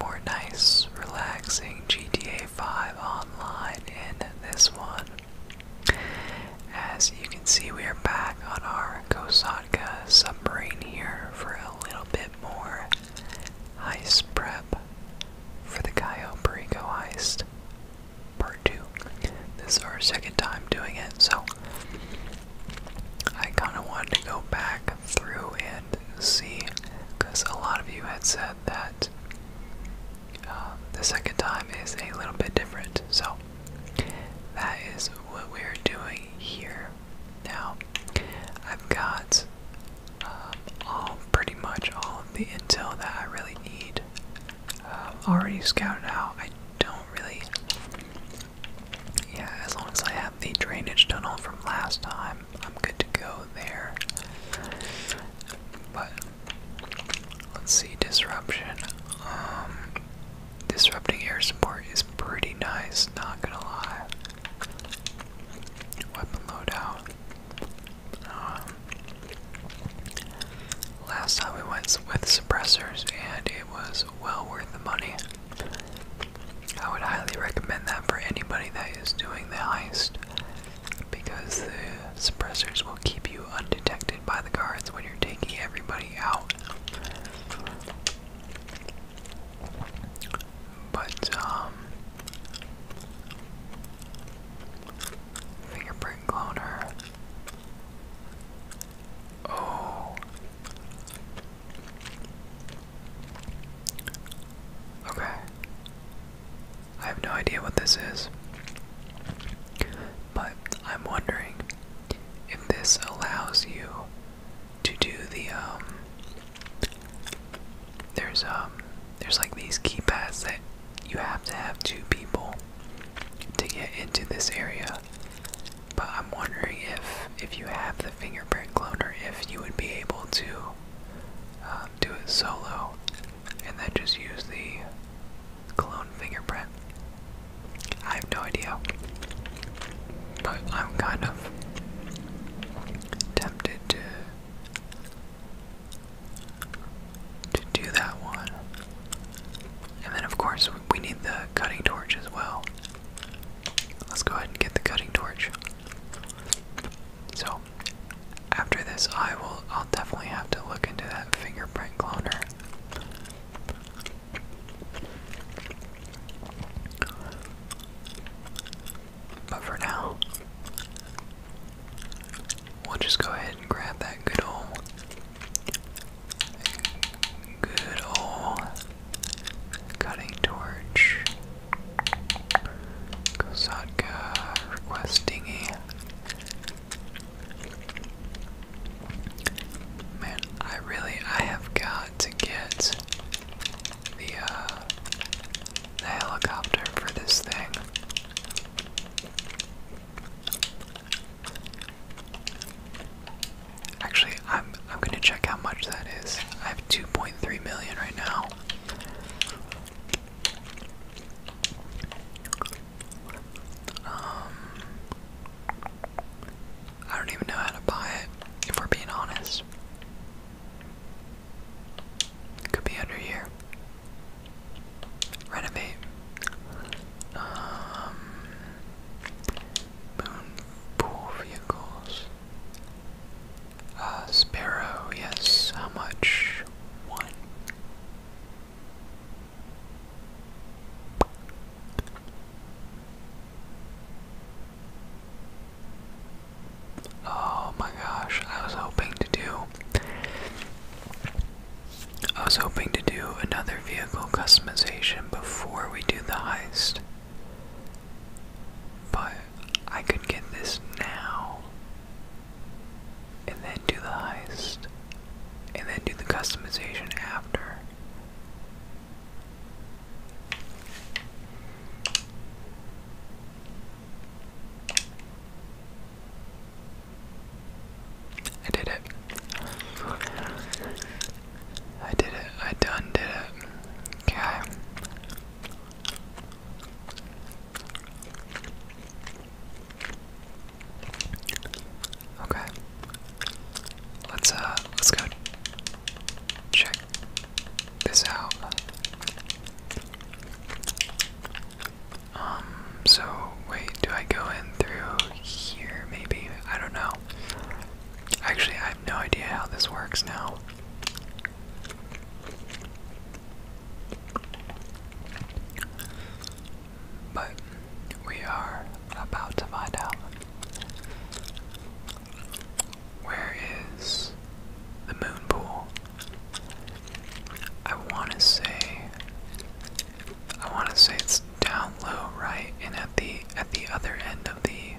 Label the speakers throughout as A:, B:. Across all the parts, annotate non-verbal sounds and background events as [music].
A: more nice, relaxing GTA 5 online in this one. As you can see, we are back on our Kosatka submarine here for a little bit more heist prep for the Cayo Perico heist part 2. This is our second time doing it, so I kind of wanted to go back through and see, because a lot of you had said that um, the second time is a little bit different. So that is what we're doing here. Now, I've got um, all pretty much all the intel that I really need um, already scouted out. I don't really. Yeah, as long as I have the drainage tunnel from last time. I'm good to go there. But let's see disruption. Um, disrupting air support is pretty nice. Not gonna lie. Weapon loadout. Um, last time we went with suppressors, and it was well worth the money. I would highly recommend that for anybody that is doing the heist because the suppressors will keep you undetected by the guards when you're taking everybody out. But, um, fingerprint cloner. Oh. Okay. I have no idea what this is. But I'm wondering if this allows you to do the um there's um there's like these keypads that you have to have two people to get into this area. But I'm wondering if if you have the fingerprint cloner if you would be able to um, do it solo and then just use the clone fingerprint. I have no idea, but I'm kind of tempted to do that one. And then of course we need the cutting torch as well. Let's go ahead and get the cutting torch. So, after this, I will. I'll definitely have to look into that fingerprint cloner. But for now, we'll just go ahead and grab that good old, good old Cutting Torch. Kosatka requesting a. Man, I really I have got to get the uh, the helicopter for this thing. Actually, I'm I'm gonna check how much that is. I have 2.3 million right now. Um, I don't even know how to buy it. If we're being honest, could be under here. Renovate. Um, pool vehicles. A uh, sparrow, yes. How much? One. Oh my gosh, I was hoping to do. I was hoping to do another vehicle customization before we do the heist. But I could get this now, and then do the heist, and then do the customization after. I did it. I did it. I done did it. Okay. Okay. Let's uh let's go check this out. Um so wait, do I go in through here maybe? I don't know. Actually, I have no idea how this works now. But we are about to find out. Where is the moon pool? I want to say. I want to say it's down low right and at the at the other end of the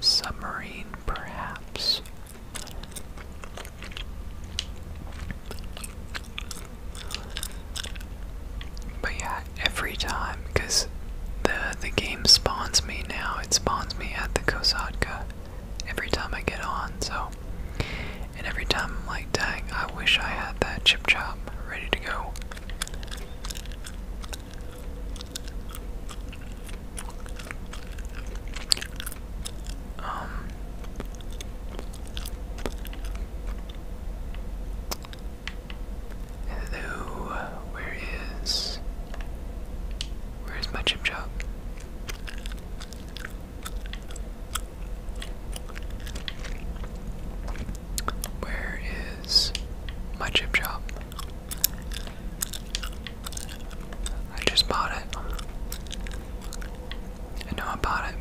A: submarine perhaps but yeah every time because the the game spawns me now it spawns me at the kosatka every time i get on so and every time i'm like dang i wish i had that chip chop ready to go um, hello, where is where is my chip chop? my chip job. I just bought it. I know I bought it.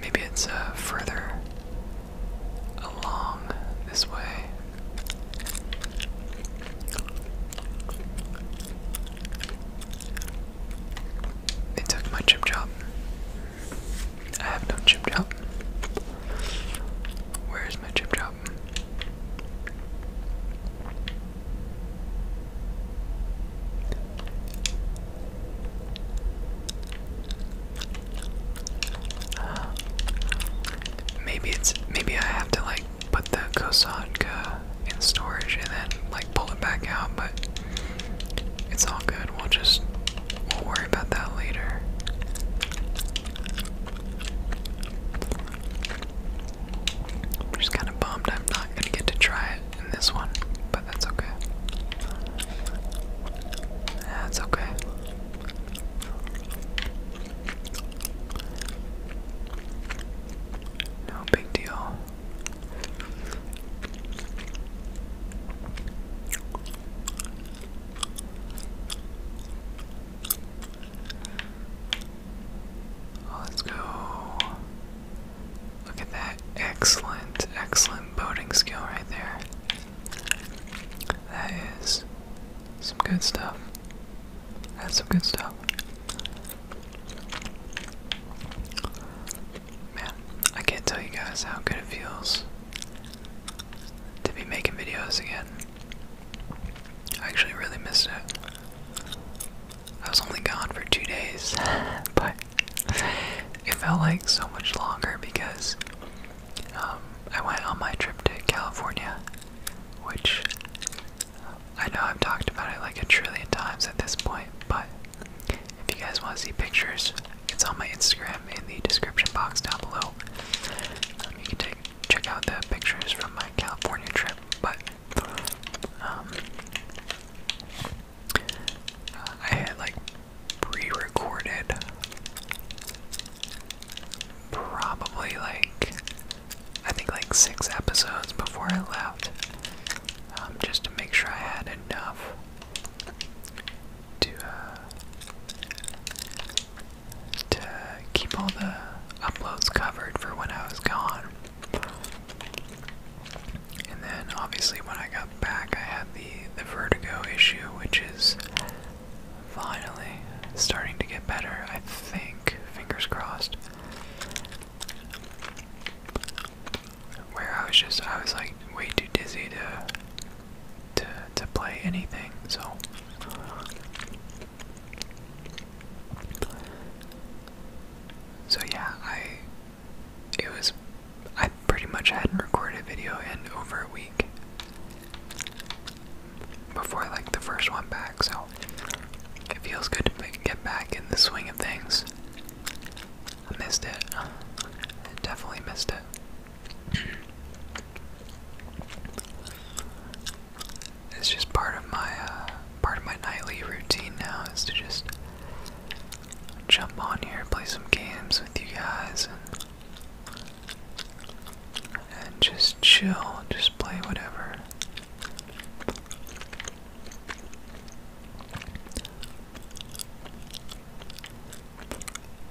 A: Maybe it's uh, further along this way. They took my chip shop. I have no chip job. Where is my chip job? maybe it's maybe I have to like put the Kosanka in storage and then like pull it back out, but it's all good. We'll just we'll worry about that later. I'm just kind of bummed I'm not going to get to try it in this one, but that's okay. That's okay. No big deal. Let's go. Look at that. Excellent, excellent boating skill right there. That is some good stuff. That's some good stuff. Man, I can't tell you guys how good it feels to be making videos again. I actually really missed it. I was only gone for two days, [laughs] but it felt like so much longer because um, I went on my trip to California, which I know I've talked about it like a trillion times at this point, but if you guys want to see pictures, it's on my Instagram in the description box down below. Um, you can check out the pictures from my California trip, but um, uh, I had like pre-recorded probably like I think like six episodes before I left, um, just to make sure I had enough to uh, to keep all the uploads covered for when I was gone. And then obviously when I got back, I had the the vertigo issue, which is finally starting to get better. I think, fingers crossed where I was just I was like way too dizzy to to to play anything. So so yeah, I it was I pretty much hadn't recorded a video in over a week before like the first one back. So it feels good to get back in the swing of things. I missed it. I definitely missed it. It's just part of my uh, part of my nightly routine now is to just jump on here, play some games with you guys, and, and just chill, just play whatever.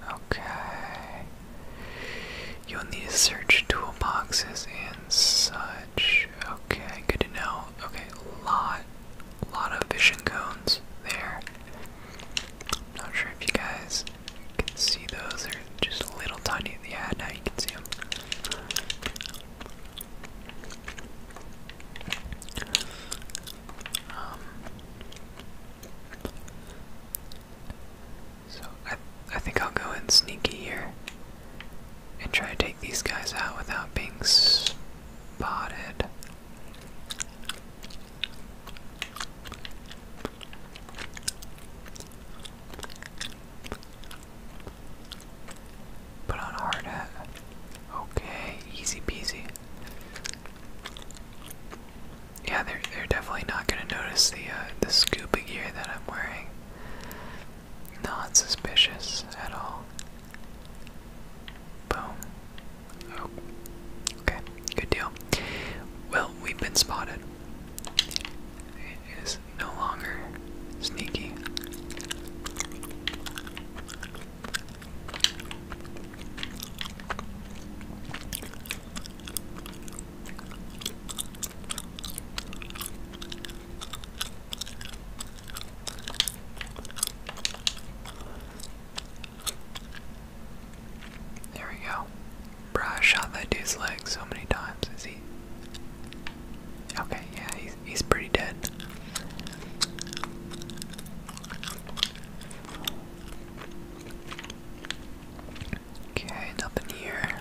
A: Okay. You'll need to search toolboxes and such. Okay, good to know. Okay, lot, lot of vision cones there. Not sure if you guys can see those. They're just a little tiny. Yeah, now you can see them. Um, so I, I think I'll go in sneaky here and try to take these guys out without being spotted. Put on a hard hat. Okay, easy peasy. Yeah, they're they're definitely not gonna notice the uh, the scuba gear that I'm wearing. Not suspicious at all. Boom. Oh, okay, good deal. Well, we've been spotted. It is no longer sneaky. There we go. Bruh, I shot that dude's leg so many times. Is he? Okay, yeah, he's he's, pretty dead. Okay, nothing here.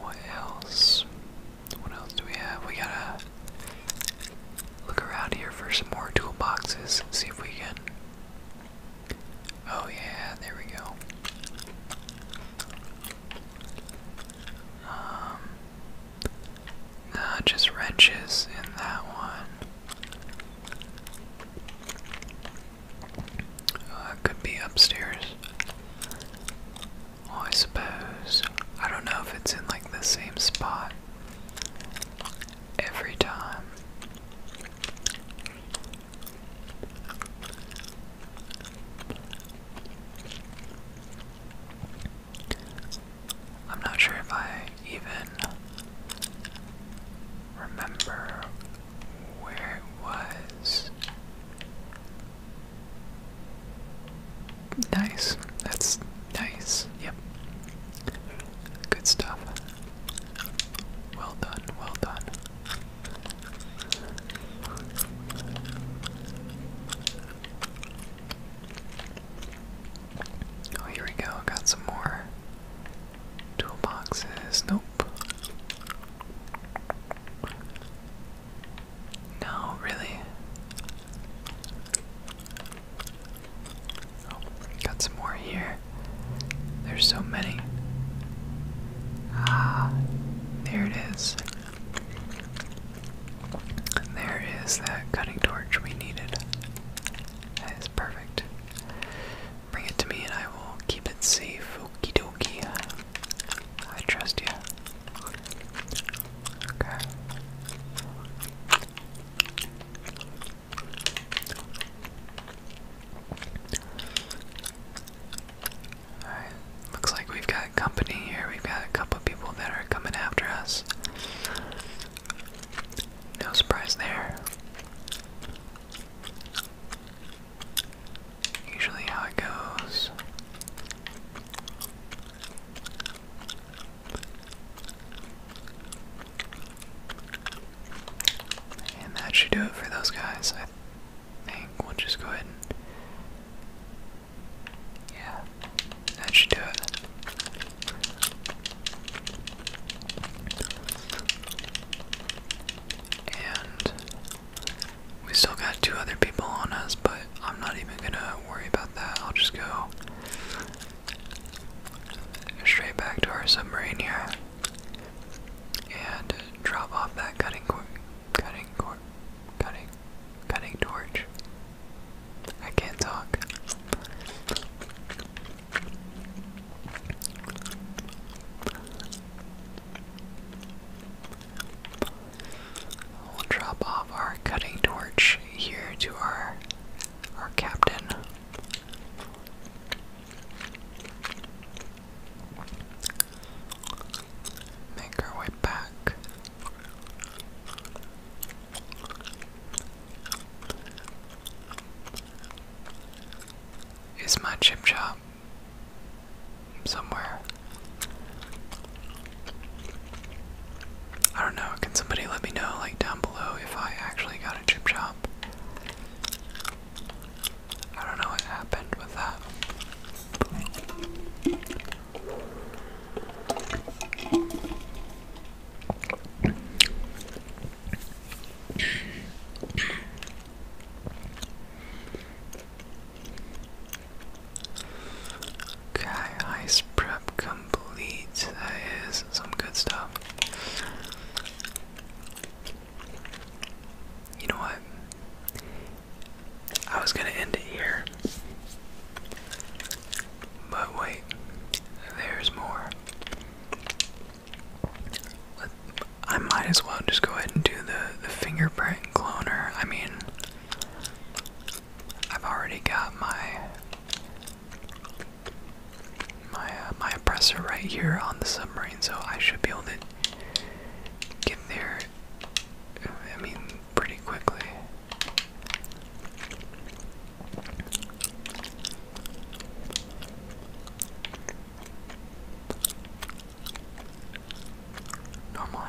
A: What else? What else do we have? We gotta look around here for some more toolboxes. See if we can. Oh, yeah, there we go. Um, Nah, uh, just wrenches in that one. Uh, could be upstairs. I suppose. I don't know if it's in like the same spot every time. I'm not sure if I even remember where it was. Nice. That's nice. Yep. Good stuff. Well done, well done. Oh, here we go. Got some more toolboxes. Nope. No, really. Oh, got some more here. There's so many. Ah, there it is there is that cutting torch we needed. That is perfect. Bring it to me and I will keep it safe. Okie dokie. I trust you. Okay looks like we've got company here. We've got a couple people that are coming after us. No surprise there. Usually, how it goes. And that should do it for those guys. I think we'll just go ahead and yeah, that should do it. And we still got two other people on us, but I'm not even gonna worry about that. I'll just go straight back to our submarine here and drop off that cutting Cutting cor cutting cutting torch. I can't talk. We'll drop off our cutting torch here to our our captain make our way back. Is my chip shop somewhere? I don't know. Can somebody let me know, like down below, if I actually got a chip shop? I don't know what happened with that. Okay, ice prep complete. That is some good stuff. You know what? I was gonna end it here. But wait, there's more. I might as well just go ahead and do the, the fingerprint cloner. I mean, I've already got my my uh, my oppressor right here on the submarine, so I should be able to get there I mean, pretty quickly. Normal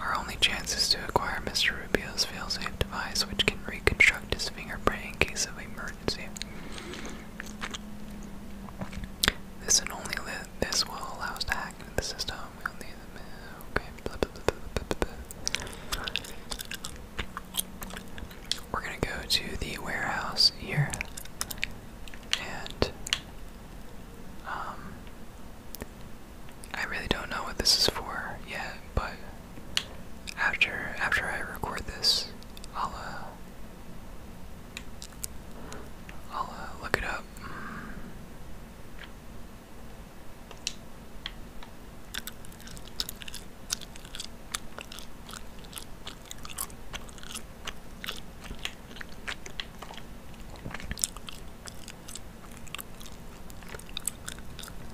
A: Our only chance is to acquire Mr. Rubio's fail-safe device, which can reconstruct his fingerprint in case of emergency. This and only this will allow us to the system. we Okay. We're gonna go to the warehouse here, and um, I really don't know what this is for yet, but after after I record this, I'll uh, I'll uh, look it up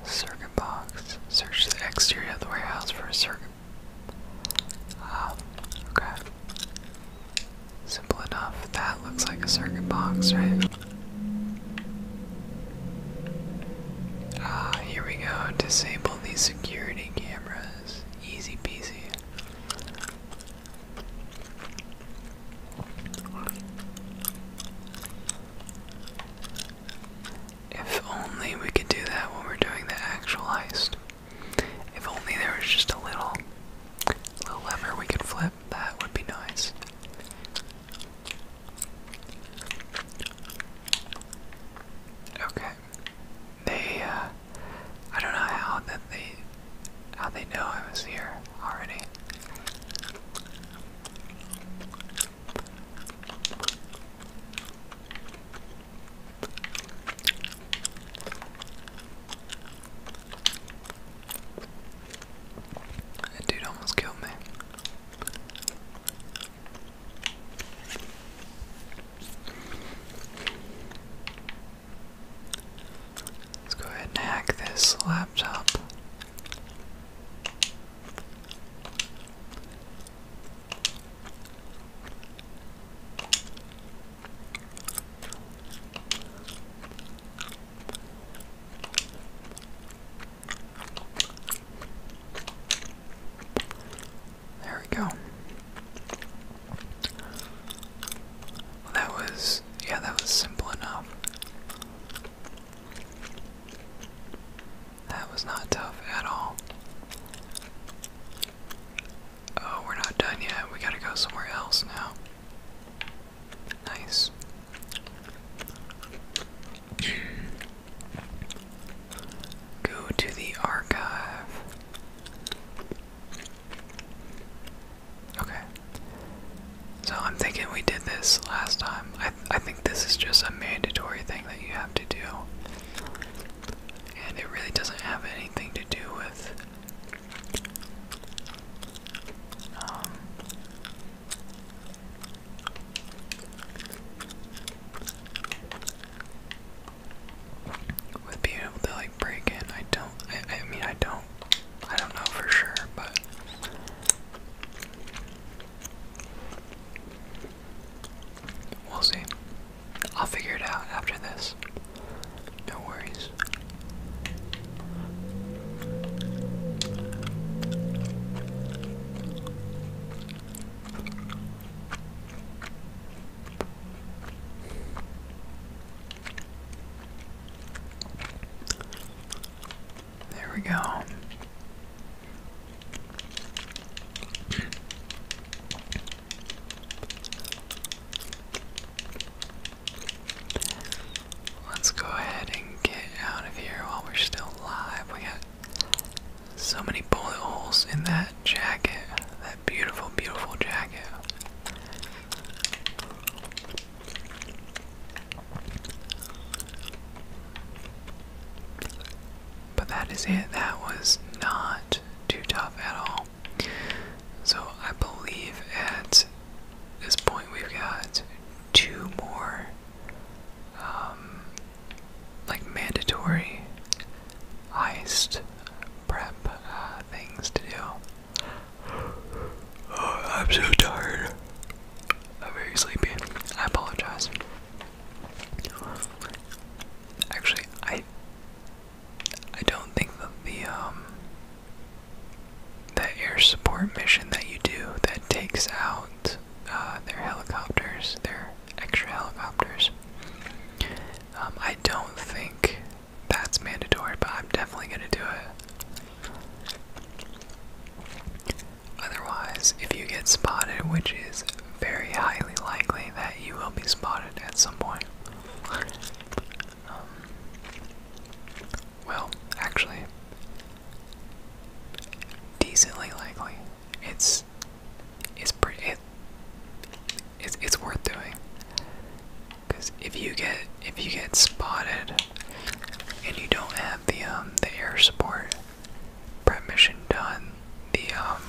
A: Circuit box. Search the exterior of the warehouse for a circuit. Ah, okay. Simple enough. That looks like a circuit box, right? Ah, here we go. Disable these security cameras. Easy peasy. If only we could do that when we're doing the actual heist. If only there was just a little, little lever we could flip, that would be nice. Okay. They, uh, I don't know how that they, how they know I was here already. That dude almost killed me. Let's go ahead and hack this laptop. There we go. that was, yeah, that was simple enough. That was not tough at all. Oh, we're not done yet. We gotta go somewhere else now. Nice. go to the archive. Okay. So I'm thinking we did this last time. I, I think this is just a mandatory thing that you have to do and it really doesn't have anything to do with um, with being able to like break in. I don't. I mean, I don't. I don't know for sure, but. We'll see. I'll figure it out after this. No worries. There we go. Let's go ahead and get out of here while we're still alive. We got so many bullet holes in that jacket. That beautiful, beautiful jacket. But that is it. That was not too tough at all. So I believe at this point we've got two more um, like mandatory heist prep uh, things to do. Oh, I'm so tired. I'm very sleepy. I apologize. Actually, I I don't think that the um the air support mission that you do that takes out uh, their helicopters, their extra helicopters. Um, I don't think that's mandatory, but I'm definitely gonna do it. Otherwise, if you get spotted, which is very highly likely that you will be spotted at some point. Um, well, actually, decently likely. It's it's pretty. it's it's worth doing. Cause if you get if you get spotted and you don't have the um the air support prep mission done, the um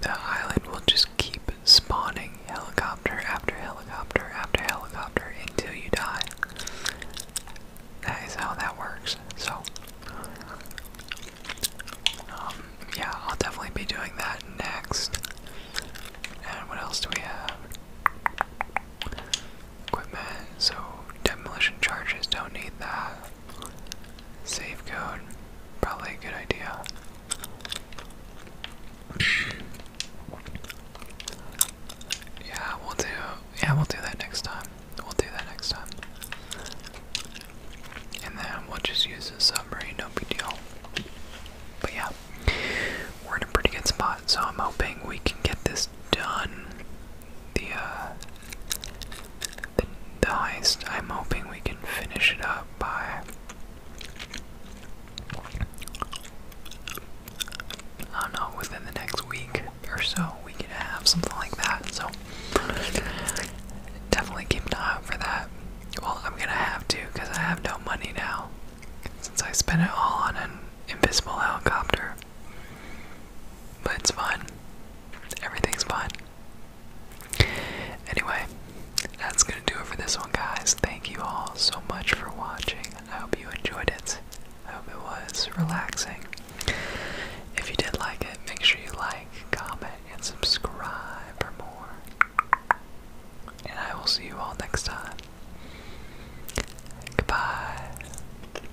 A: the island will just keep spawning helicopter after helicopter after helicopter until you die. That is how that works. So, um, yeah, I'll definitely be doing that next. And what else do we have? Equipment, so demolition charges, don't need that. Save code, probably a good idea. yeah, we'll do. Yeah, we'll do that next time. We'll do that next time. And then we'll just use the submarine, no big deal. But yeah, we're in a pretty good spot, so I'm hoping we can get this done the uh the, the heist. I'm hoping we can finish it up by I don't know, within the next week or so we can have something like that. So definitely keep an eye out for that. Well, I'm gonna have to because I have no money now since I spent it all on an invisible helicopter. But it's fine. Everything's fine. Anyway, that's gonna do it for this one, guys. Thank you all so much for watching. I hope you enjoyed it. I hope it was relaxing. If you did like it, make sure you like, comment, and subscribe for more. And I will see you all next time. Goodbye.